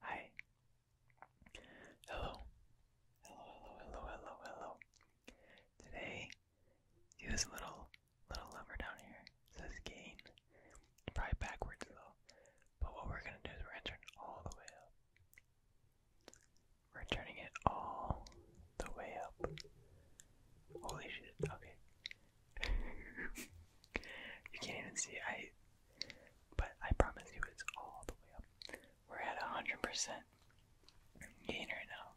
Hi. Hello. Hello, hello, hello, hello, Today, see this little, little lever down here? It says gain. probably backwards though. But what we're gonna do is we're going all the way up. We're turning it all the way up. Holy shit, okay. you can't even see, I but I promise you, it's all the way up. We're at 100% gain right now.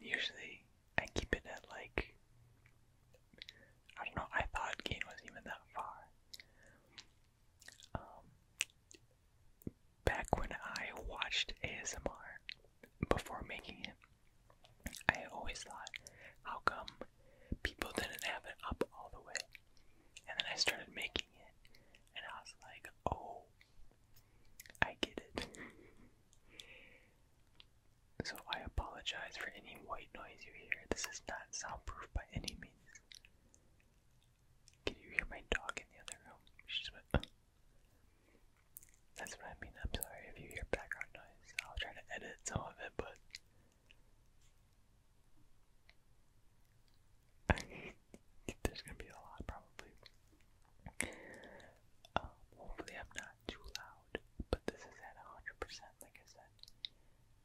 Usually, I keep it at like. I don't know, I thought gain was even that far. Um, back when I watched ASMR before making it, I always thought, how come people didn't have it up all the way. And then I started making it, and I was like, oh, I get it. so I apologize for any white noise you hear. This is not soundproof by any means. Can you hear my dog in the other room? She's went. Uh. That's what I mean. I'm sorry if you hear background noise. I'll try to edit some of it, but There's gonna be a lot, probably. Um, hopefully, I'm not too loud, but this is at 100%, like I said.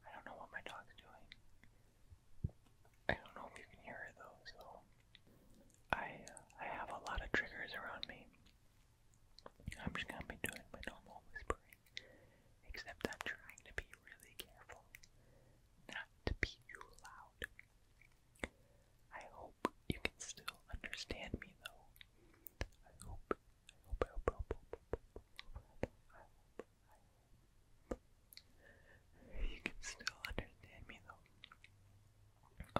I don't know what my dog's doing. I don't know if you can hear it though, so I uh, I have a lot of triggers around me. I'm just gonna be doing my normal whispering. Except I'm trying to be really careful not to be too loud. I hope you can still understand me though. I hope, I hope, I hope, I hope, I hope, I hope, I hope, I hope. You can still understand me though.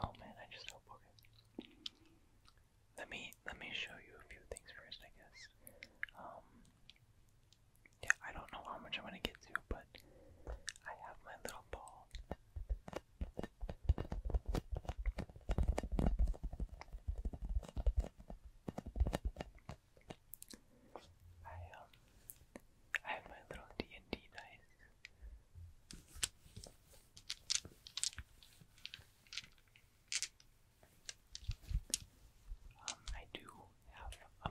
Oh man, I just hope, okay. Let me, let me show you a few things first, I guess. Um, yeah, I don't know how much I'm gonna get to, but I have my little ball. I um I have my little D and D dice. Um, I do have a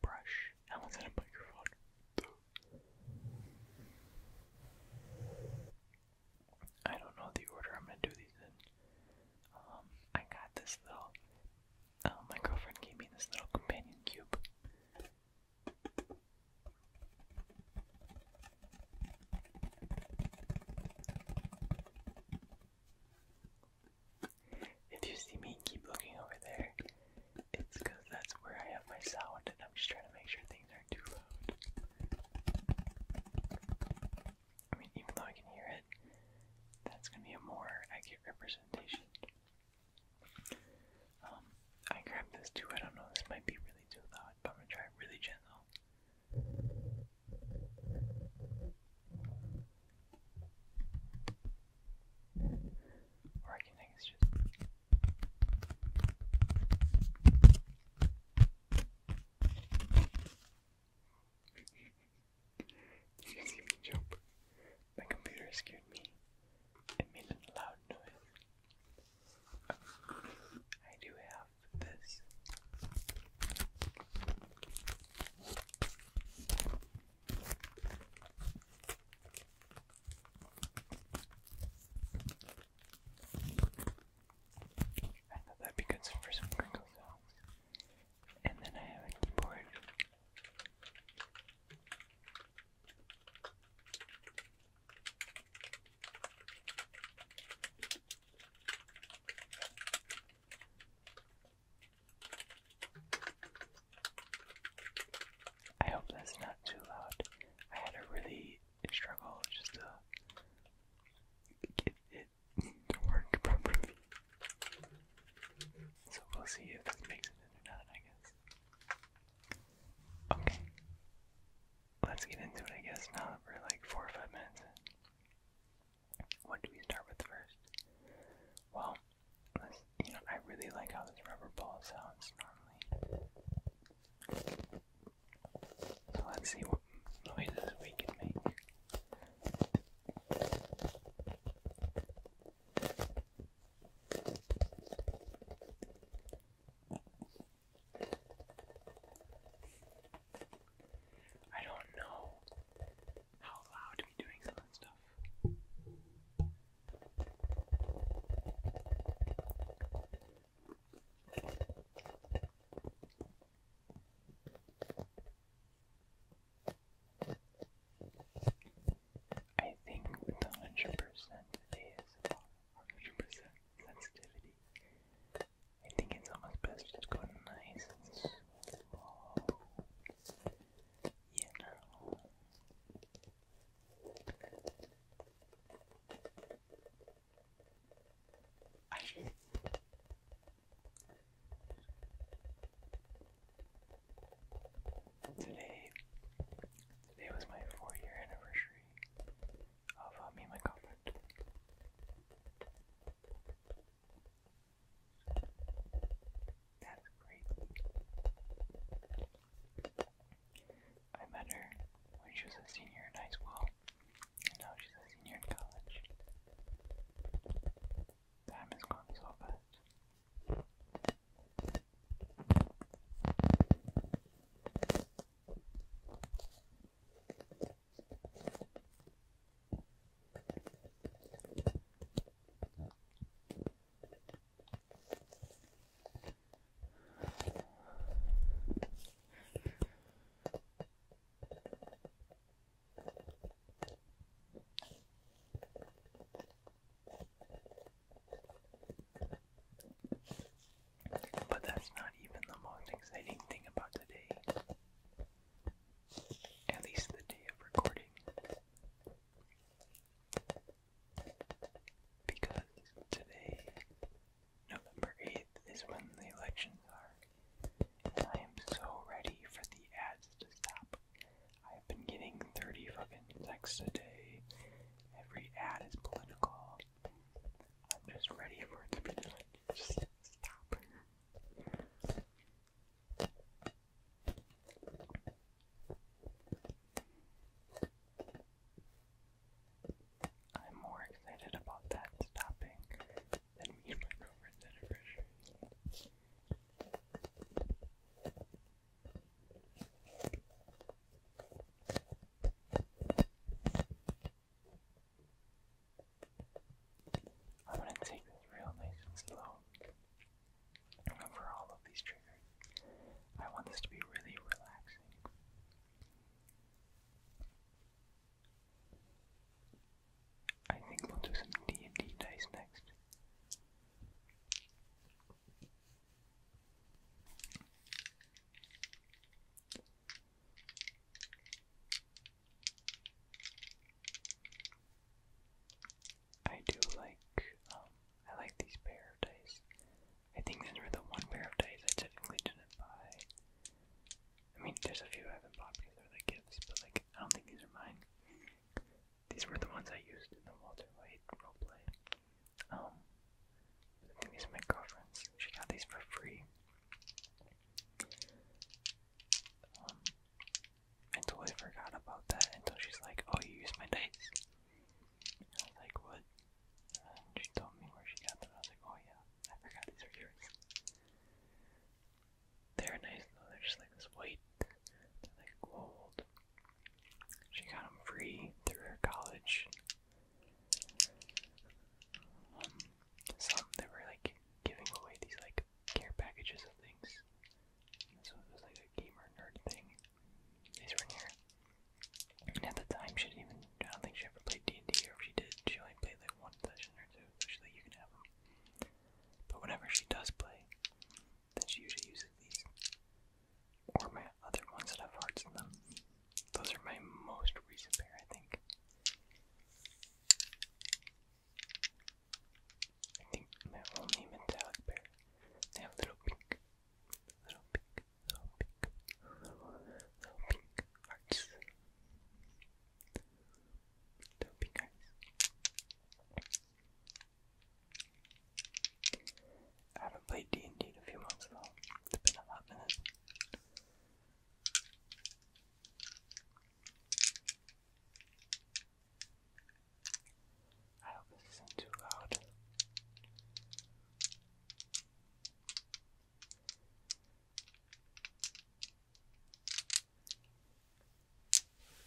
brush. I almost had a microphone. I don't know the order I'm gonna do these in. Um, I got this little. Um, my girlfriend gave me this little companion cube. If you see me keep looking over there, it's that's where I have my sound and I'm just trying to make sure things aren't too loud. I mean, even though I can hear it, that's going to be a more accurate representation. Um, I grabbed this too, I don't know, this might be really too loud, but I'm going to try really gentle. Or I can think it's you see me jump. My computer scared me. It made a loud noise. I do have this. I thought that'd be good for some crinkle And then I have a keyboard. I hope that's not too loud. I had a really struggle just to get it to work properly. So we'll see if this makes it in or not, I guess. Okay. Let's get into it, I guess, now that like four or five minutes what do we start with first? Well, let's, you know, I really like how this rubber ball sounds normally. So let's see what noises we can make. I don't know how loud to be doing some of that stuff. I think 100% ASMR, 100% sensitivity, I think it's almost best to just go nice and small. You Today, today was my four-year anniversary of uh, me and my girlfriend. That's great. I met her when she was a senior in high school, and now she's a senior in college. Time has gone so fast. But that's not even the most exciting thing about today at least the day of recording. Because today, November 8th, is when the elections are. I am so ready for the ads to stop. I have been getting 30 fucking texts a day. Every ad is political. I'm just ready for it to stop. I'm more excited about that stopping than me and my girlfriend's I'm going to take this real nice and slow. Remember all of these triggers. I want this to be really relaxing. I think we'll do some D and D dice next. I do like, um, I like these pair of dice. I think these were the one pair of dice I typically didn't buy. I mean, there's a few I haven't bought because they're like gifts, but like, I don't think these are mine. These were the ones I used in the Walter White roleplay. Um, I think these are my girlfriend's. She got these for free. Um, I forgot about that until she's like, oh, you used my dice. like, what? she told me where she got them. I was like, oh yeah, I forgot these are yours. They're nice though, they're just like this white, like gold. She got them free through her college. Um, some that were like giving away these like care packages of things. So it was like a gamer nerd thing. These were in here. And at the time, she didn't even, I don't think she ever played D&D, or if she did, she only played like one session or two, so you can have them. But whenever she does play, then she usually uses these. Or my other ones that have hearts in them. Those are my most recent pair, I think. I think only metallic bear. They have little pink, little pink, little pink, little pink hearts. Little pink hearts. I haven't played D&D in a few months It's been a I hope this isn't too loud.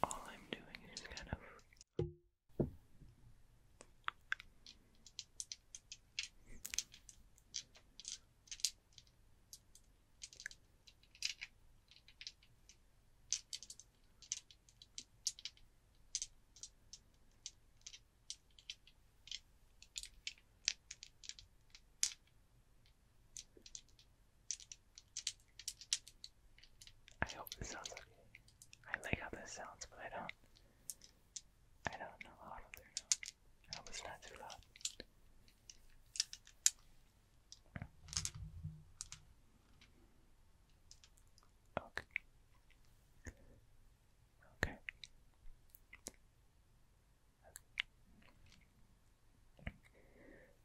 All I'm doing is kind of I hope this sounds okay. I like how this sounds, but I don't. I don't know how loud they're I hope it's not too loud. Okay. Okay.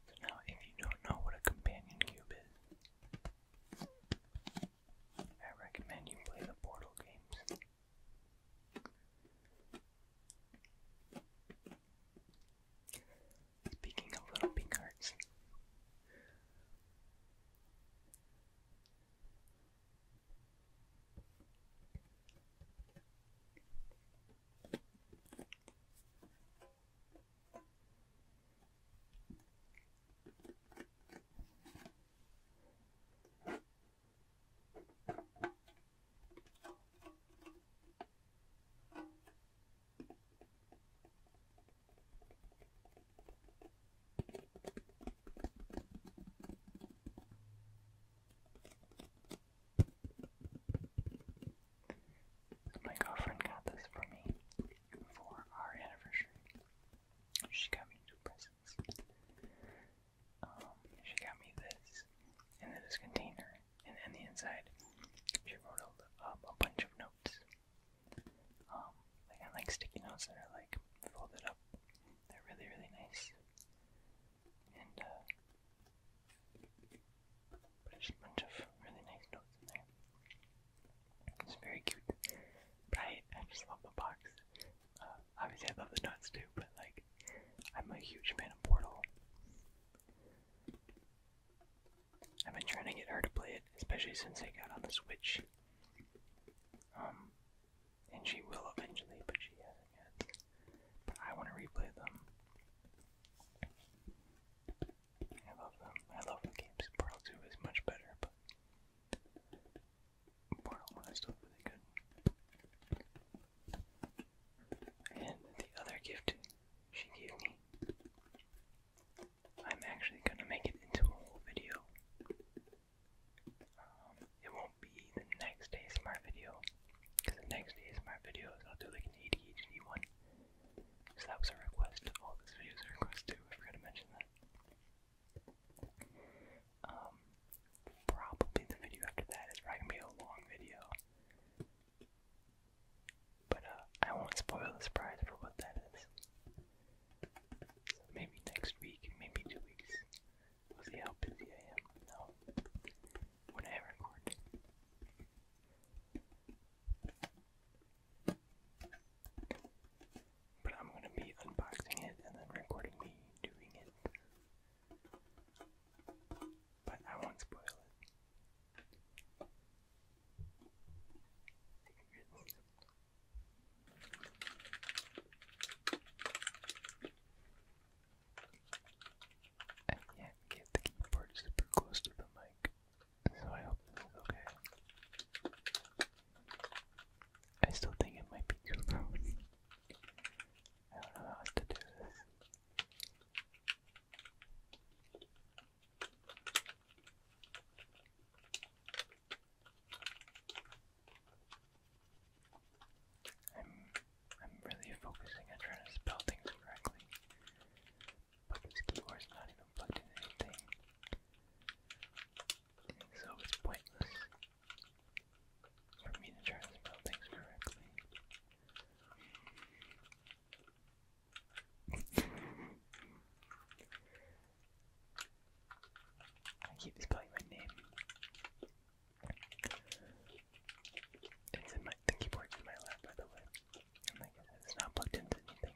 So now, if you don't know what a companion cube is, I recommend you play the Portal games. Speaking of little pink hearts. My girlfriend got this for me for our anniversary. She got me two presents. Um, she got me this, and then this container, and then the inside, she wrote a, um, a bunch of notes. Um, like I like sticky notes that are like folded up. They're really really nice. And uh, there's a bunch of really nice notes in there. It's very cute. But I, I just love the box. Uh, obviously I love the notes too, but like I'm a huge fan of Portal. I've been trying to get her to play it, especially since it got on the Switch. Um, and she will eventually, but she hasn't yet. But I want to replay them. I love them. I love the games. Portal 2 is much better, but Portal 1 is still really good. And the other gift she gave me, I'm actually going to make it into a whole video. Um, it won't be the next day smart video, because the next day smart videos I'll do like an ADHD one. So that was a request. All this video is a too. I forgot to mention that. Um, probably the video after that is probably gonna be a long video. But uh, I won't spoil the surprise for what that is. maybe next week, maybe two weeks. We'll see how busy I am now when I record. But I'm gonna be unboxing it and then recording me doing it but I won't spoil it. I can the keyboard super close to the mic, so I hope this is okay. I still think it might be too loud. I don't know how to do this. I'm I'm really focusing on trying to spell things correctly. But this keyboard's not even plugged in anything. so it's pointless for me to try to spell things correctly. I keep spelling my name. It's in my the in my lap by the way. it's not plugged into anything.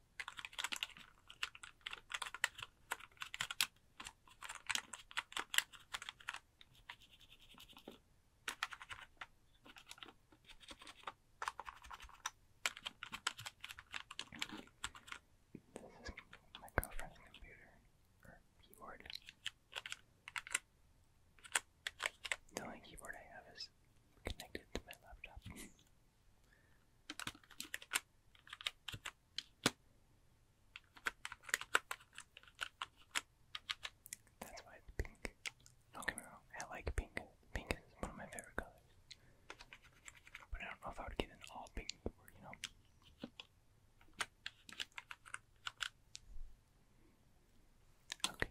This is my girlfriend's computer or keyboard. The only keyboard I have is connected to my laptop. That's why it's pink. Don't get me wrong, I like pink. Pink is one of my favorite colors. But I don't know if I would get an all pink board, you know? Okay.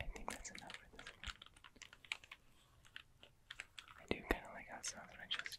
I think that's enough for this I do kind of like how it sounds I just.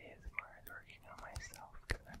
It is hard working on myself because I'm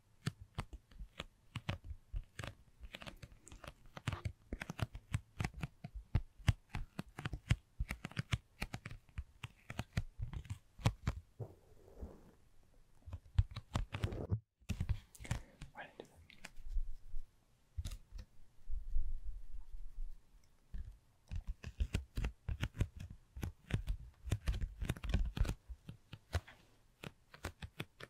Why did I do that?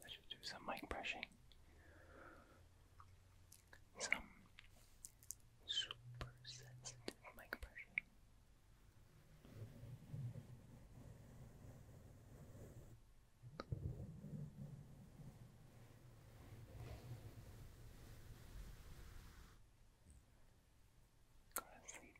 Let's just do some mic brushing. Some super sensitive mic brushing. Go to sleep.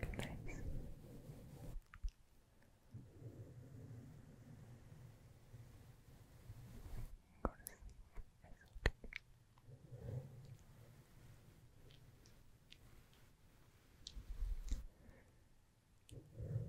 Good night. Go to sleep. It's okay. go to sleep.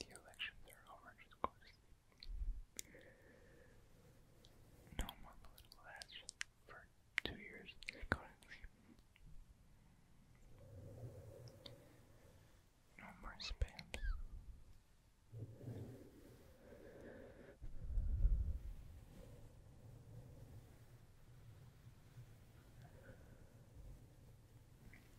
The elections are over, just go No more political ads for two years, No more spams.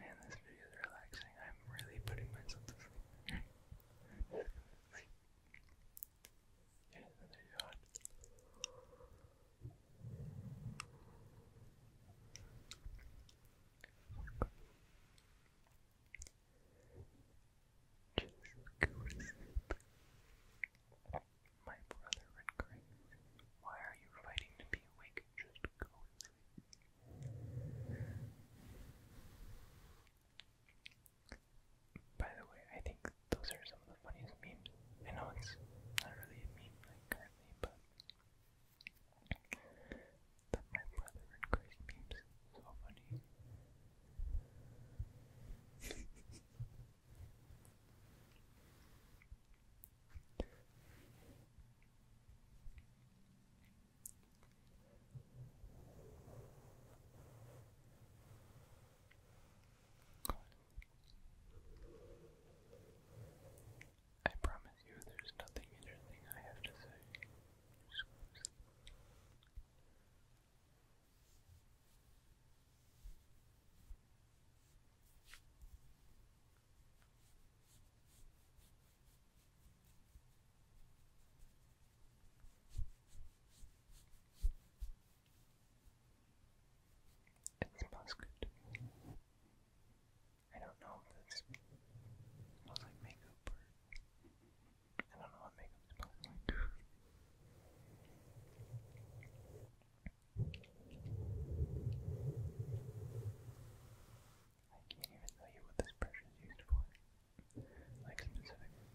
Man, this video is relaxing. I'm really putting myself to sleep. My brother went crazy. Why are you fighting to be awake? Just go to sleep. By the way, I think those are some of the funniest memes. I know it's not really a meme like currently, but my brother and crazy memes so funny. I promise you there's nothing interesting I have to say. It smells good. I don't know if this smells like makeup or I don't know what makeup smells like. I can't even tell you what this pressure is used for. Like specifically.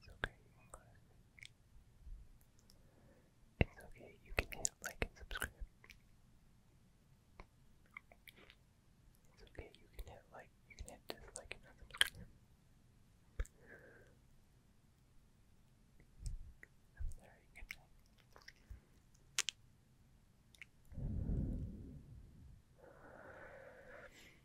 It's okay, you It's okay, you can hit like and subscribe. It's okay, you can hit like, you can hit dislike and unsubscribe. I'm